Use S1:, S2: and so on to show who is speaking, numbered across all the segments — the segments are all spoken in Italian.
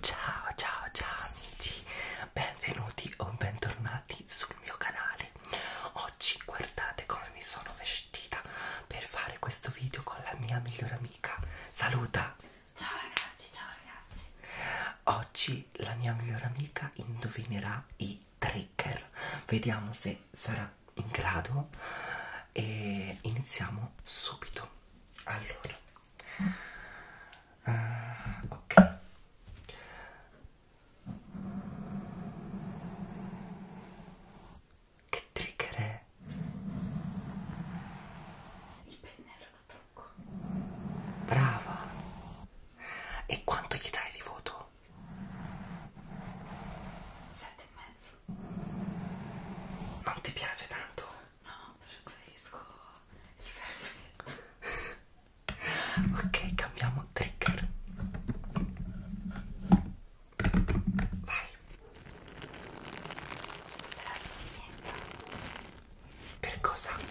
S1: Ciao ciao ciao amici, benvenuti o bentornati sul mio canale. Oggi guardate come mi sono vestita per fare questo video con la mia migliore amica. Saluta! Ciao ragazzi, ciao ragazzi. Oggi la mia migliore amica indovinerà i trigger. Vediamo se sarà in grado e iniziamo subito. Allora Uh, ok. Che trigger è? Il pennello da trucco. Brava. E quanto gli dai di voto? Sette e mezzo. Non ti piace tanto? No, preferisco il vermetto. ok, cambiamo trigger. Vai. Questa è la spinetta. Per cosa? No,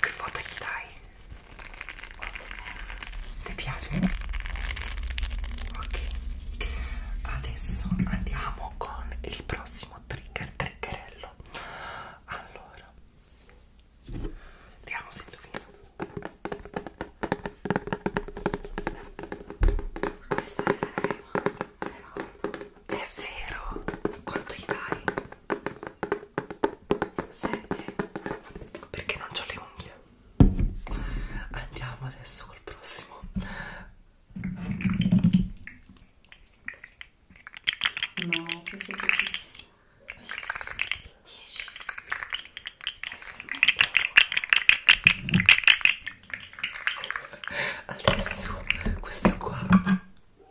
S1: che voto gli dai? 8,5. Ti piace? Ok. Adesso andiamo con il prossimo trigger triggerello. Allora. Vediamo se indovino. Questa è la crema. Crema colpo. È vero. Quanto gli dai? Senti, perché non ho le unghie? Andiamo adesso col prossimo. No, questo è bellissimo. 10. Adesso questo qua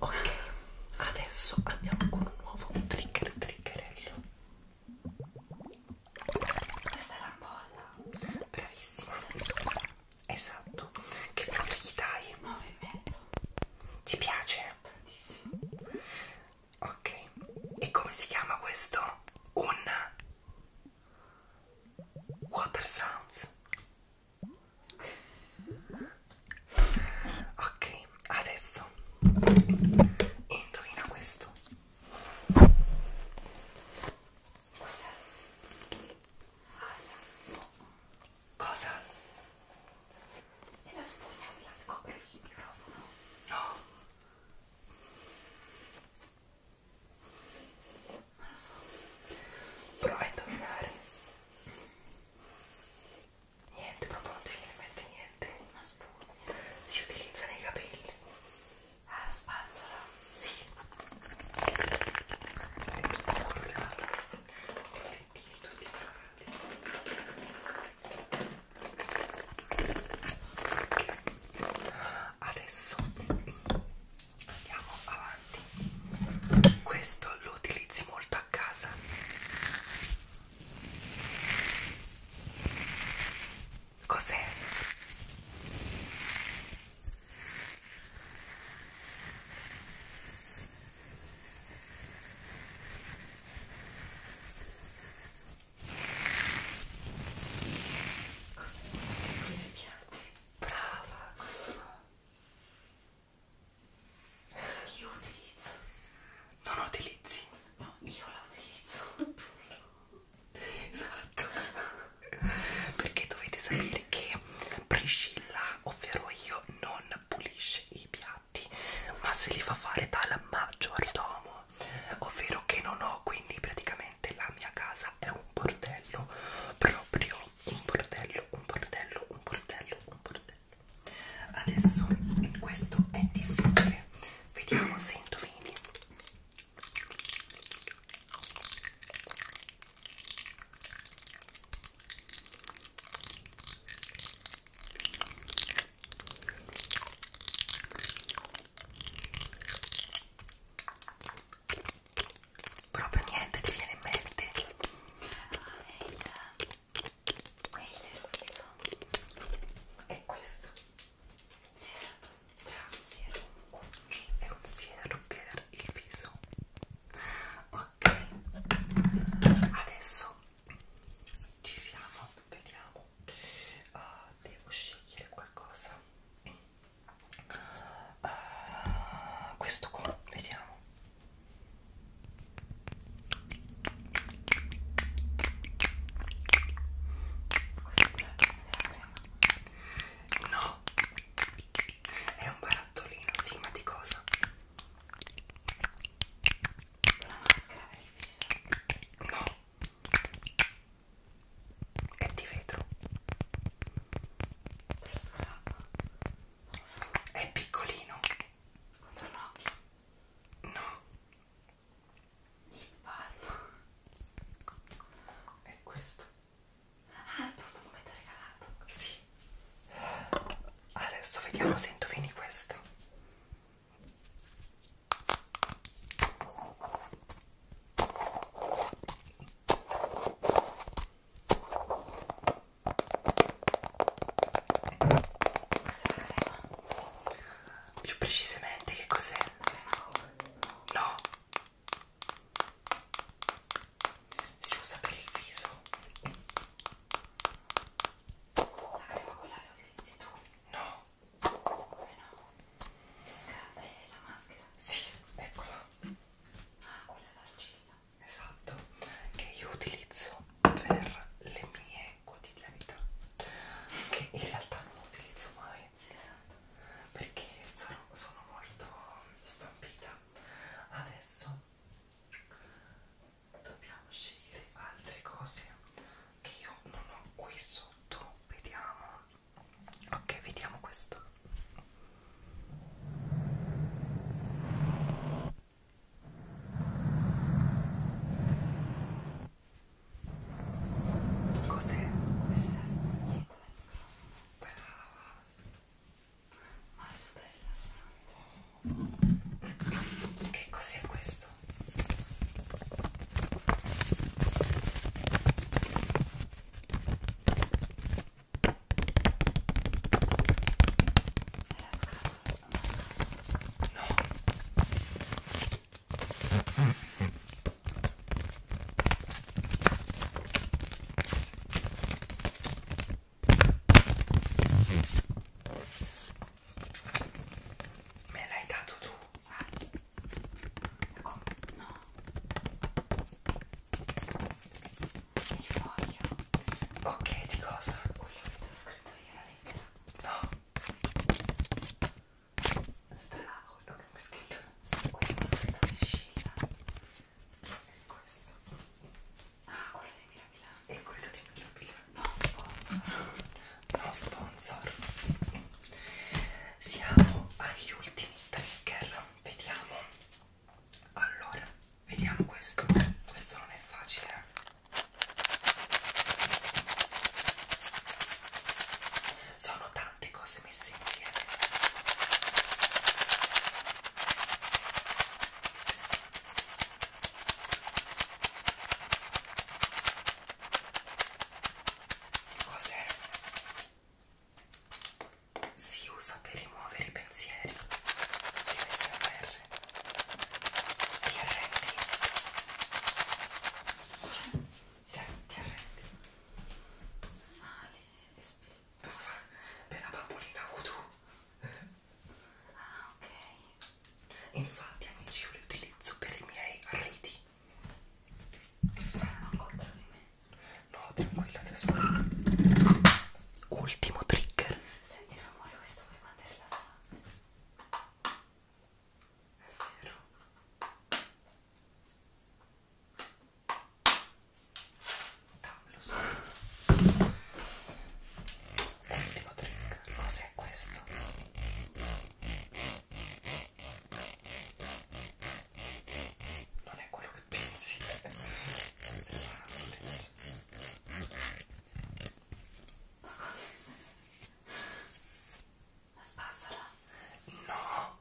S1: ok adesso andiamo con un nuovo trigger triggerello questa è la bolla bravissima esatto che punto gli dai? 9 e mezzo ti piace? tantissimo ok e come si chiama questo? un water sounds ok adesso indovina questo cos'è? cosa? è la spugna quella che copre il microfono no non lo so prova a indovinare niente proprio non ti viene in mente niente una spugna si utilizza nei capelli ah la spazzola si sì. Adesso andiamo avanti questo lo utilizzi molto a casa cos'è? Cos'è? Cos'è? Brava, questo no. Io utilizzo. Non lo utilizzi? No, io la utilizzo. esatto. Perché dovete sapere che Priscilla, ovvero io, non pulisce i piatti, ma se li fa fare dal maggiordomo, ovvero che non ho quindi praticamente veramente la mia casa è un bordello, proprio un bordello, un bordello, un bordello, un bordello. Adesso questo è difficile, vediamo se indovini. Proprio niente ti viene in mente. Ah, eh, è il, è il servizio. È questo. Sì, esatto. C'è un siero. È un siero per il viso. Ok. Adesso ci siamo. Vediamo. Uh, devo scegliere qualcosa. In uh, questo qua vediamo no è un barattolino sì ma di cosa la maschera per il viso no è di vetro lo scarabba non lo so è piccolino contro l'occhio no il palmo è questo ah è proprio che ti ho regalato sì adesso vediamo se indovini questo più precisamente che cos'è? No! Si usa per il viso. La crema quella che utilizzi tu? No! Come no? Questa è la maschera? Sì, eccola. Ah, quella è l'argilla. Esatto, che io utilizzo per le mie quotidianità. Che in realtà non utilizzo mai. Sì, esatto. Perché sono, sono molto stampita. Adesso dobbiamo scegliere altre cose che io non ho qui sotto vediamo ok vediamo questo cos'è? questa è la spugnetta brava ma è super rilassante che cos'è questo? Me l'hai dato tu Guarda. Come? No. Il foglio. Ok, di cosa? Quello che ti ho scritto io la lettera. No. Starà quello che mi hai scritto. Quello che ho scritto che scivola. E questo. Ah, quello di Mirabila. E quello di Mirabila no sponsor no sponsor siamo agli ultimi trigger vediamo allora vediamo questo questo non è facile eh. sono tante cose messe insieme Cos'è? Si usa per rimuovere i pensieri sui SMR. Ti arrendi? Sì, ti arrendi. Ah, le, le per la bambolina voodoo. Ah, ok. Infatti, amici, io li utilizzo per i miei riti. Che fanno contro di me? No, tranquilla, tesoro. Ultimo trigger. Senti, amore, questo mi manda rilassante. È vero. Dammelo su. Ultimo trick, cos'è questo? Non è quello che pensi, sembra una freccia. Ma La spazzola? No!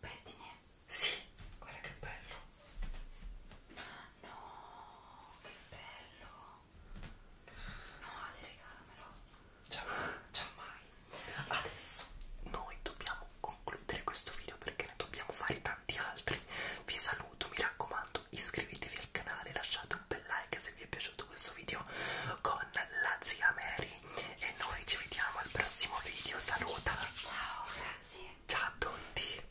S1: Pettine? Sì, guarda che bello! No, che bello! No, Ale, regalamelo. Ciao, ciao mai. Adesso noi dobbiamo concludere questo video perché ne dobbiamo fare tanti altri. Vi saluto, mi raccomando, iscrivetevi al canale, lasciate un bel like se vi è piaciuto questo video con la zia Mary. E noi ci vediamo al prossimo video. Saluta! Ciao, grazie! Ciao a tutti!